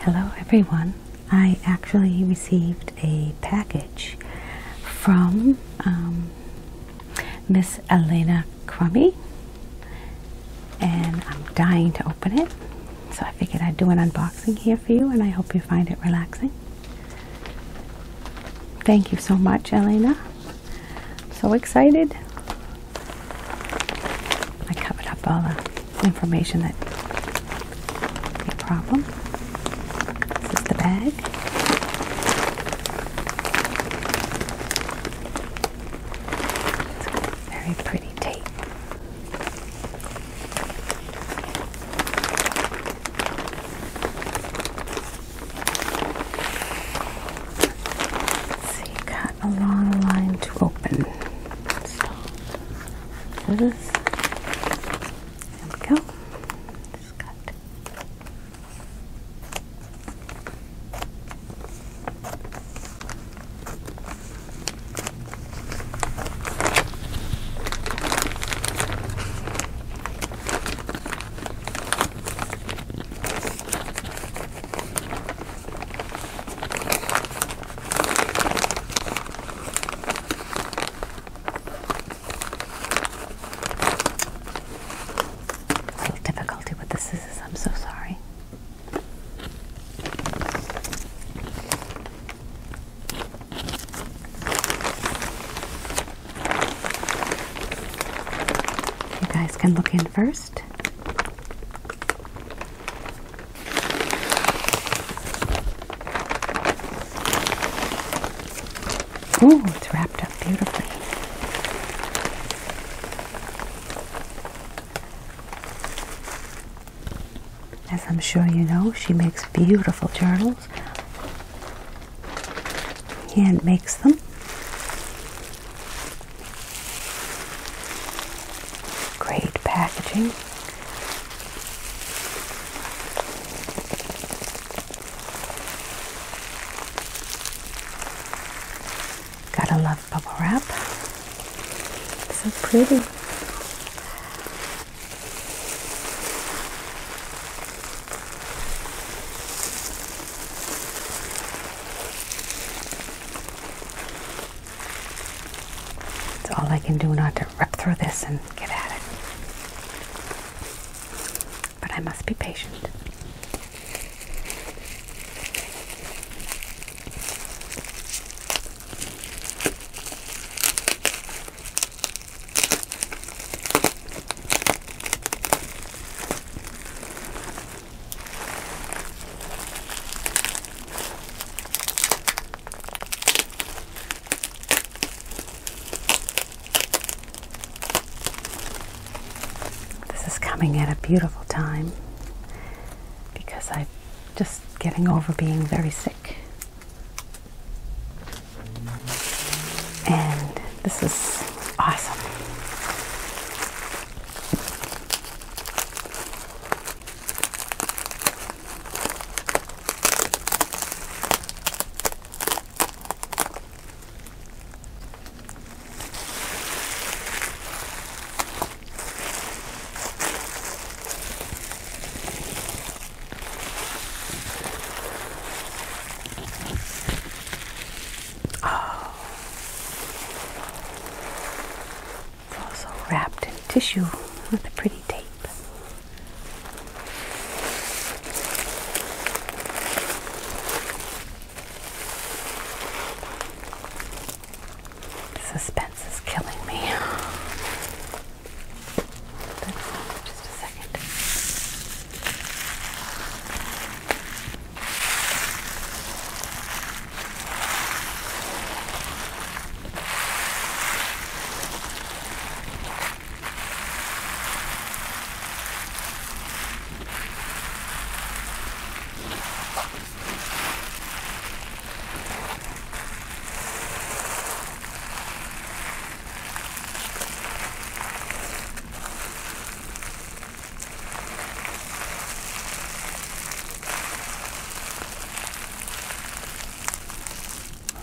Hello everyone. I actually received a package from um, Miss Elena Crummy and I'm dying to open it so I figured I'd do an unboxing here for you, and I hope you find it relaxing. Thank you so much, Elena. so excited. I covered up all the information that no problem. This is the bag. it very pretty tape. So you got a line to open. So this there we go. Just got a little difficulty with the scissors, I'm so sorry. You guys can look in first. Ooh, it's wrapped up beautifully. As I'm sure you know, she makes beautiful journals. Hand makes them. Great packaging. Gotta love bubble wrap. So pretty. It's all I can do not to rip through this and get at it. But I must be patient. This is coming at a beautiful time because I'm just getting over being very sick. And this is awesome. It's also wrapped in tissue with a pretty tape. Suspect this is killing me. Just a second.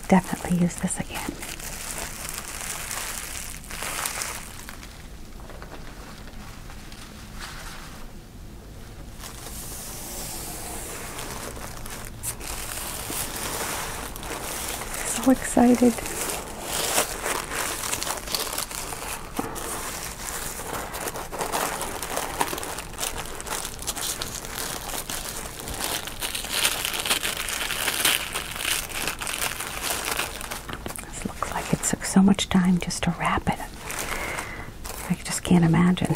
Definitely use this again. So excited. This looks like it took so much time just to wrap it. I just can't imagine.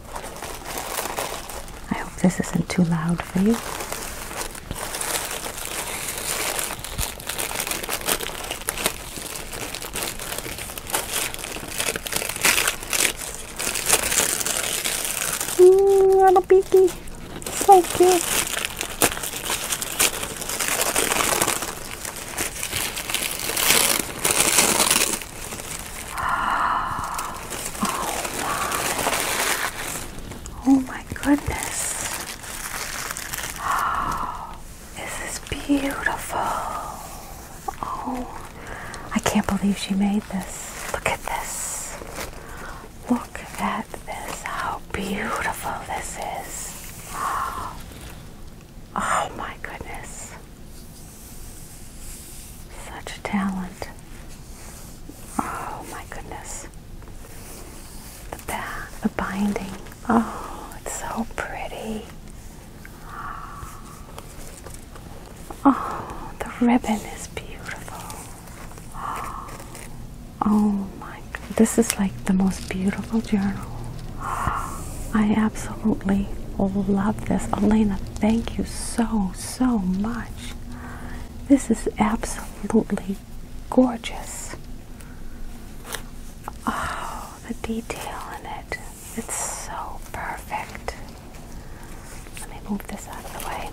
I hope this isn't too loud for you. Mmm, little beaky. So cute. Oh my. Oh my goodness. This is beautiful. Oh, I can't believe she made this. Look at this. Look at this. How beautiful this is. Oh my goodness. Such talent. Oh my goodness. The back, the binding. Oh, it's so pretty. Oh, the ribbon is beautiful. Oh my, this is like the most beautiful journal. I absolutely love this. Elena, thank you so, so much. This is absolutely gorgeous. Oh, the detail in it. It's so perfect. Let me move this out of the way.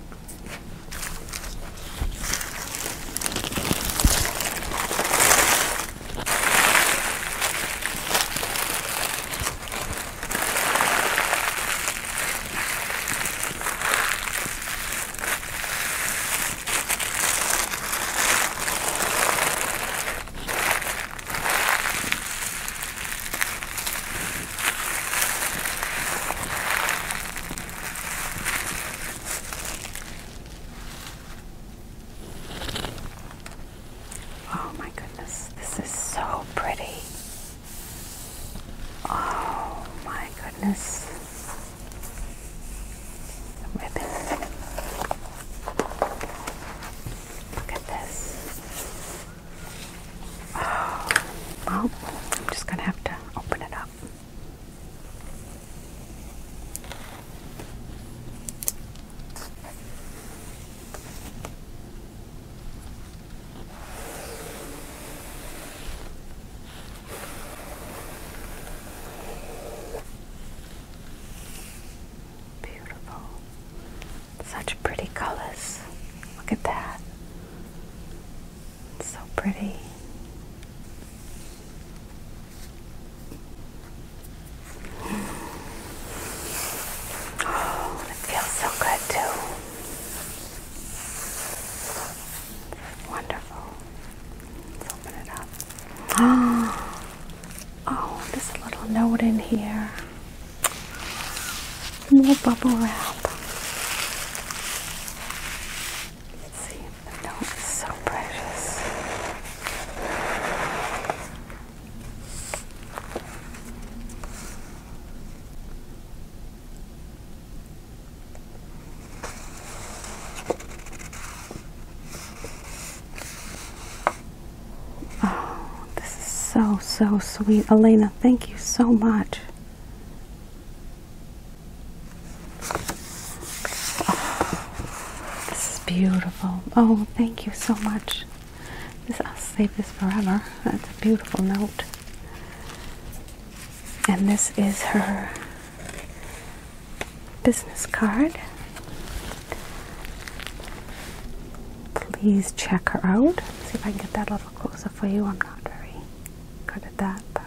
Oh, my goodness, this is so pretty. Oh my goodness. Ribbon. Look at this. Oh, well, I'm just going to have to open it up. Beautiful. Such pretty colors. Look at that. so pretty. Oh, it feels so good too. Wonderful. Let's open it up. Oh, this little note in here. More bubble wrap. see, the note is so precious. Oh, this is so, so sweet. Elena, thank you so much. Oh, this is beautiful. Oh, thank you so much. This, I'll save this forever. That's a beautiful note. And this is her business card. Please check her out. see if I can get that a little closer for you. I'm not very good at that, but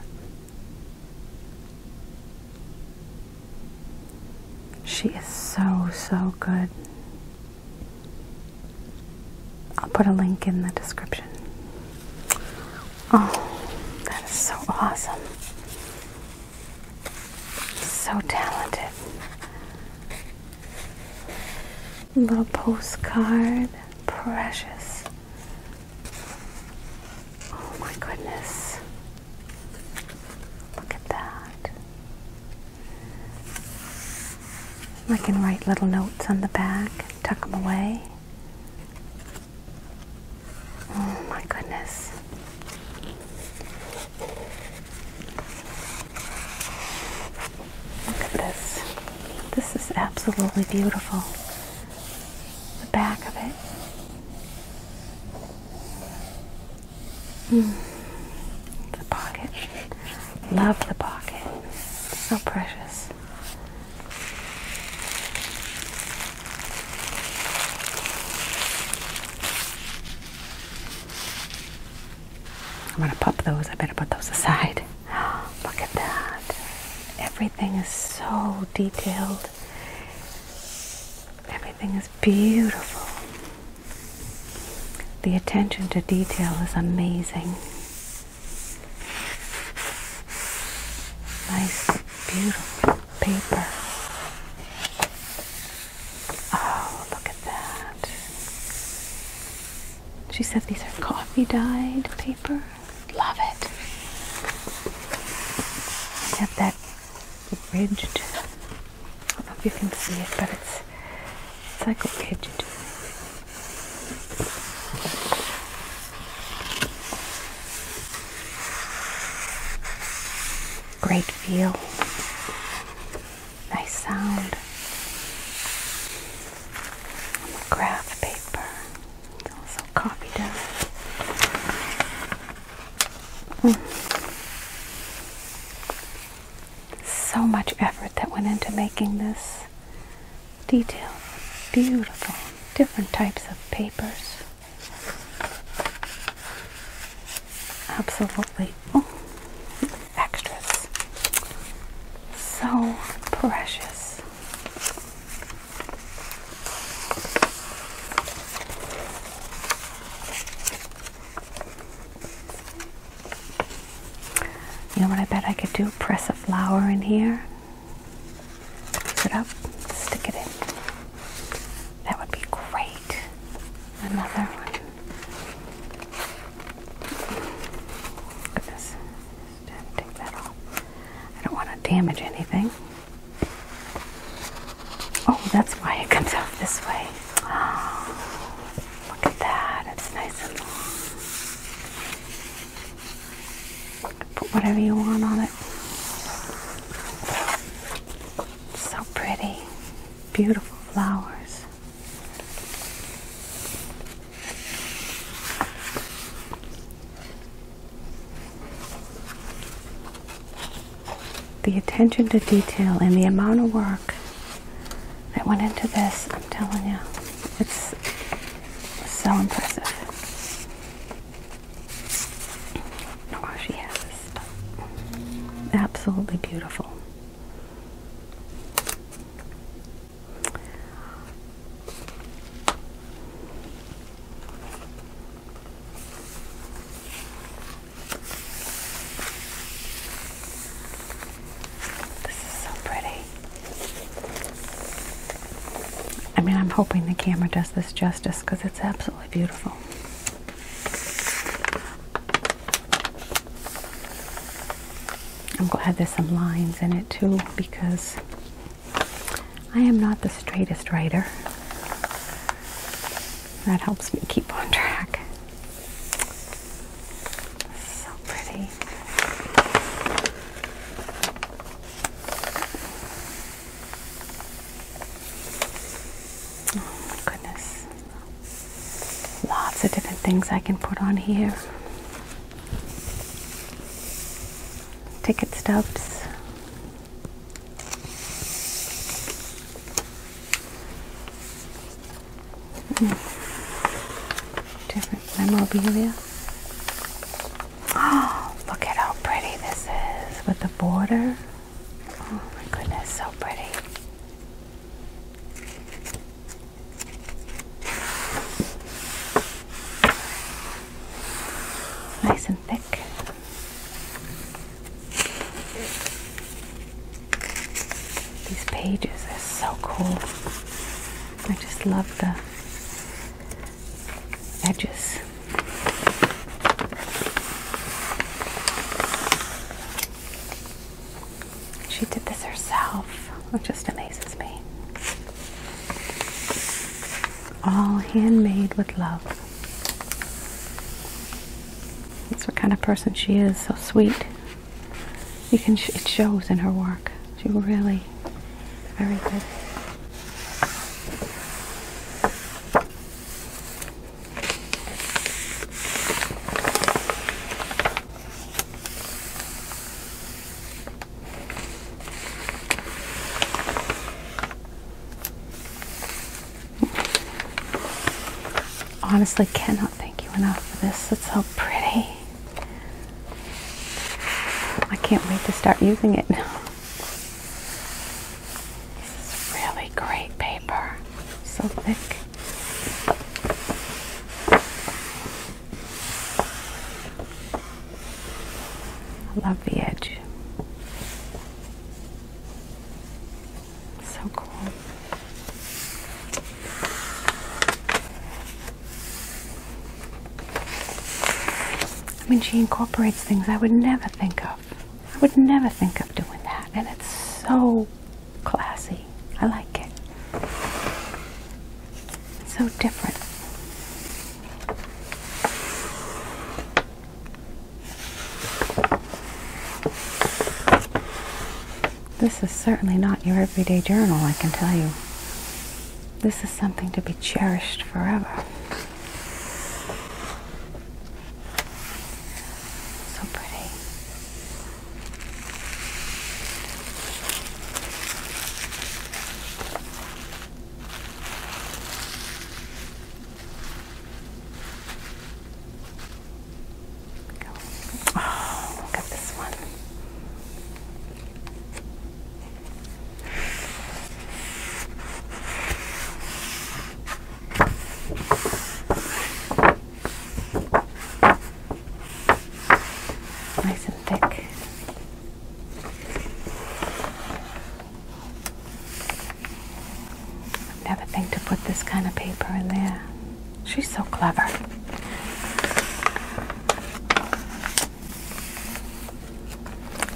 she is so so good. I'll put a link in the description. Oh, that is so awesome. So talented. Little postcard. Precious. Oh my goodness. Look at that. I can write little notes on the back tuck them away. Oh my goodness. Look at this. This is absolutely beautiful. The back of it. Hmm. The pocket. Love the pocket. So precious. I'm going to pop those. I better put those aside. Look at that. Everything is so detailed. Everything is beautiful. The attention to detail is amazing. Nice, beautiful paper. Oh, look at that. She said these are coffee dyed paper. Love it. I Have that ridged. I don't know if you can see it, but it's it's like okay to do. Great feel. Nice sound. Graph paper. also copied up. Hmm. So much effort that went into making this detail. Beautiful. Different types of papers. Absolutely. Oh, extras. So precious. You know what I bet I could do? Press a flower in here, pick it up, stick it in. That would be great. Another one. Goodness. Just take that off. I don't want to damage anything. Oh, that's why it comes out this way. Look at that, it's nice and long. Put whatever you want on it. So pretty. Beautiful flowers. The attention to detail and the amount of work I went into this, I'm telling you, it's so impressive. Oh, she has Absolutely beautiful. This is so pretty. I mean, I'm hoping the camera does this justice because it's absolutely beautiful. I'm going glad there's some lines in it too because I am not the straightest writer. That helps me keep on track. So pretty. Oh my goodness. Lots of different things I can put on here. Ticket stubs. Different memorabilia. Oh, look at how pretty this is with the border. Oh my goodness, so pretty. Nice and thick. These pages are so cool. I just love the edges. She did this herself, which just amazes me. All handmade with love. That's what kind of person she is, so sweet. You can it shows in her work. She really very good. Honestly, cannot thank you enough for this. It's so pretty. I can't wait to start using it now. This is really great paper. So thick. I love the edge. So cool. I mean, she incorporates things I would never think of. I would never think of doing that. And it's so classy. I like it. It's so different. This is certainly not your everyday journal, I can tell you. This is something to be cherished forever. So pretty go. Oh, look at this one. Nice and thick. Never think to put this kind of paper in there. She's so clever.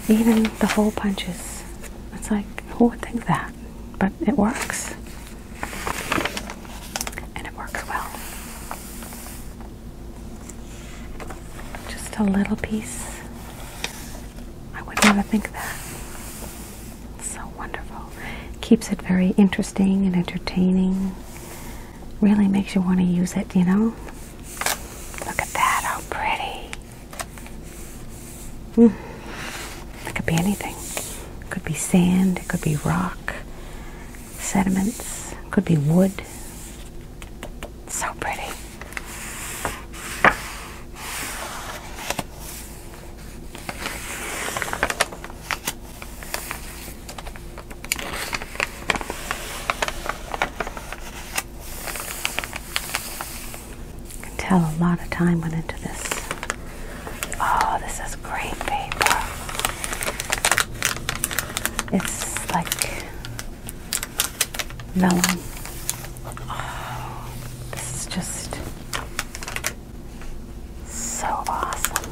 Even the hole punches. It's like, who would think that? But it works. And it works well. Just a little piece. I would never think that. It's so wonderful. Keeps it very interesting and entertaining really makes you want to use it, you know? Look at that, how pretty. Mm. It could be anything. It could be sand, it could be rock, sediments, it could be wood. so pretty. I can tell a lot of time went into this. Oh, this is great paper. It's like melon. Oh, this is just so awesome.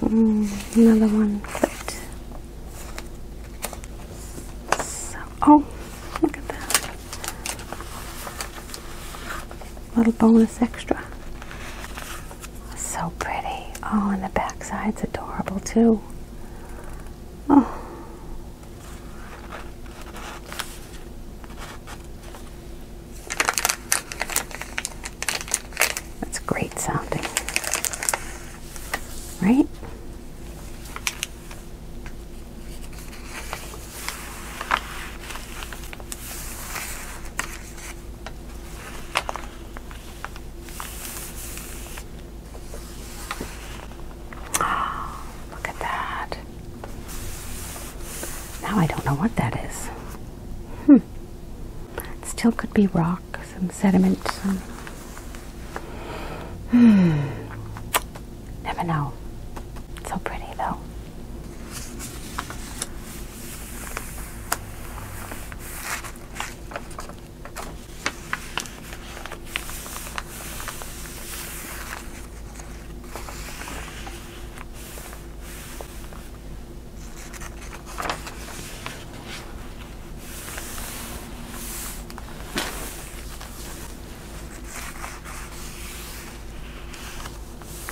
Mm, another one clipped. oh, look at that. Little bonus extra. So pretty. Oh, and the backside's adorable too. Oh. That's great sounding. Right? Oh, look at that. Now I don't know what that is. Hmm. It still could be rock, some sediment, Hmm. Never know. So pretty though.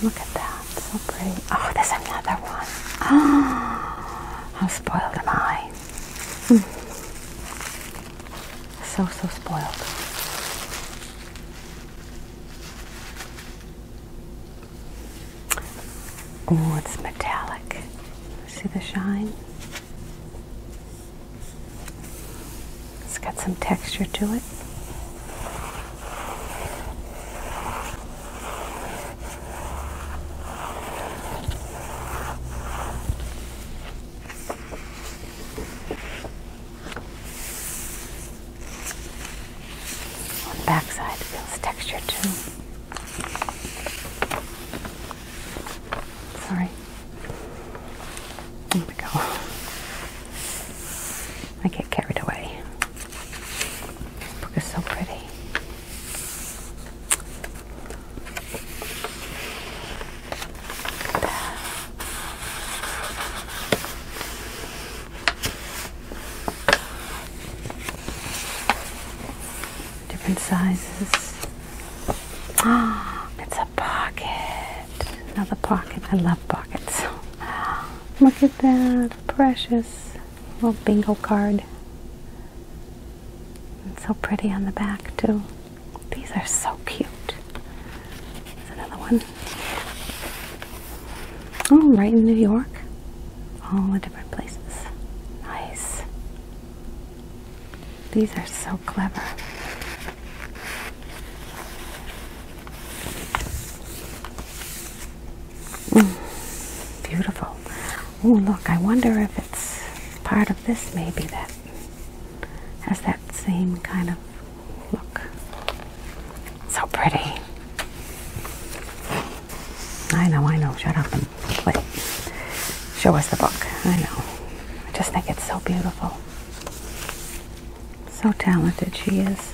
Look at that, so pretty. Oh, there's another one. Oh, how spoiled am I? Hmm. So, so spoiled. Oh, it's metallic. See the shine? It's got some texture to it. On the back feels textured too. Sorry. There we go. I get carried away. book is so pretty. Different sizes. Ah, it's a pocket. Another pocket. I love pockets. Look at that. Precious. Little bingo card. It's so pretty on the back too. These are so cute. There's another one. Oh, right in New York. All the different places. Nice. These are so clever. Mm, beautiful. Oh, look, I wonder if it's part of this maybe that has that same kind of look. So pretty. I know, I know. Shut up and play. Show us the book. I know. I just think it's so beautiful. So talented she is.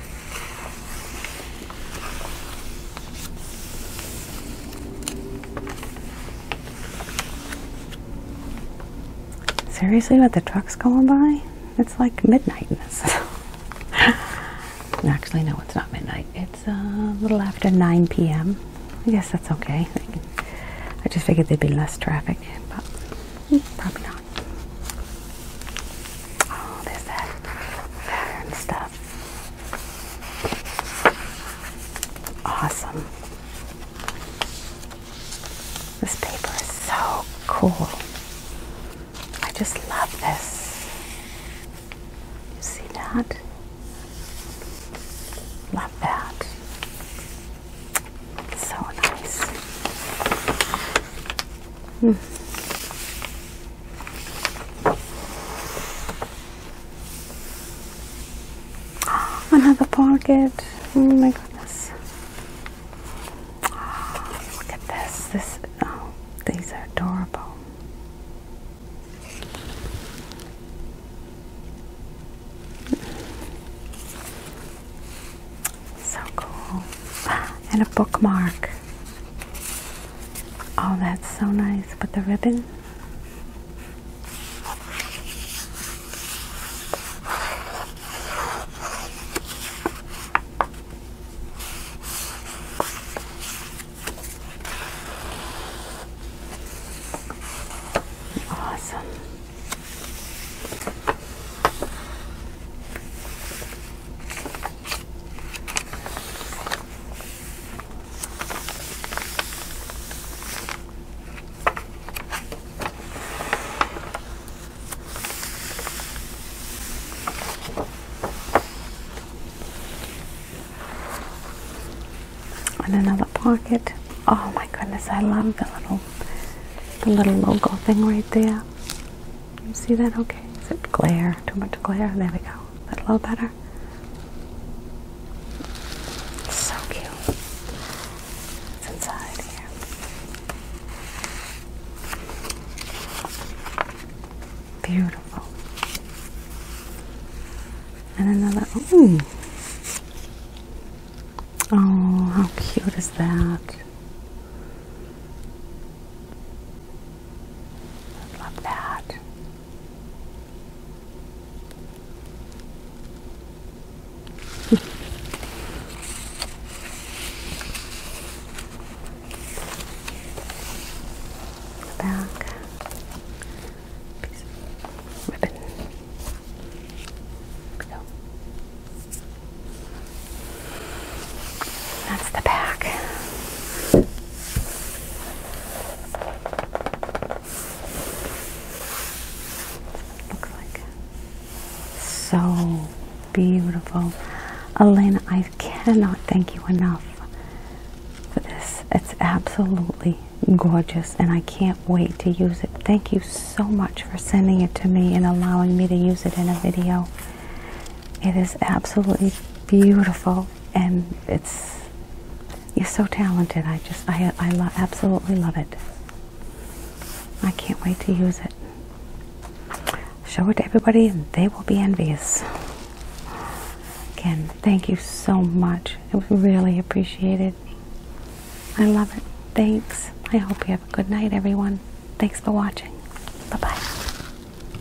Seriously, what the trucks going by? It's like midnight in this. Actually, no, it's not midnight. It's uh, a little after 9 p.m. I guess that's okay. I, I just figured there'd be less traffic, but hmm, probably not. Oh, there's that pattern stuff. Awesome. This paper is so cool. I just love this. You see that? Love that. So nice. Hmm. Another pocket. Oh my goodness. look at this. This oh, these are adorable. So cool. And a bookmark. Oh, that's so nice. But the ribbon? Awesome. And another pocket. Oh my goodness, I love the little the little logo thing right there. You see that? Okay. Is it glare? Too much glare? There we go. That a little better. so cute. It's inside here. Beautiful. And another. Oh, how cute is that? love that. Back ribbon. Go. That's the back. Looks like so beautiful. Elena, I cannot thank you enough for this. It's absolutely gorgeous and I can't wait to use it. Thank you so much for sending it to me and allowing me to use it in a video. It is absolutely beautiful and it's you're so talented. I just I I absolutely love it. I can't wait to use it. Show it to everybody, they will be envious. Again, thank you so much. It was really appreciated. I love it. Thanks. I hope you have a good night, everyone. Thanks for watching. Bye bye.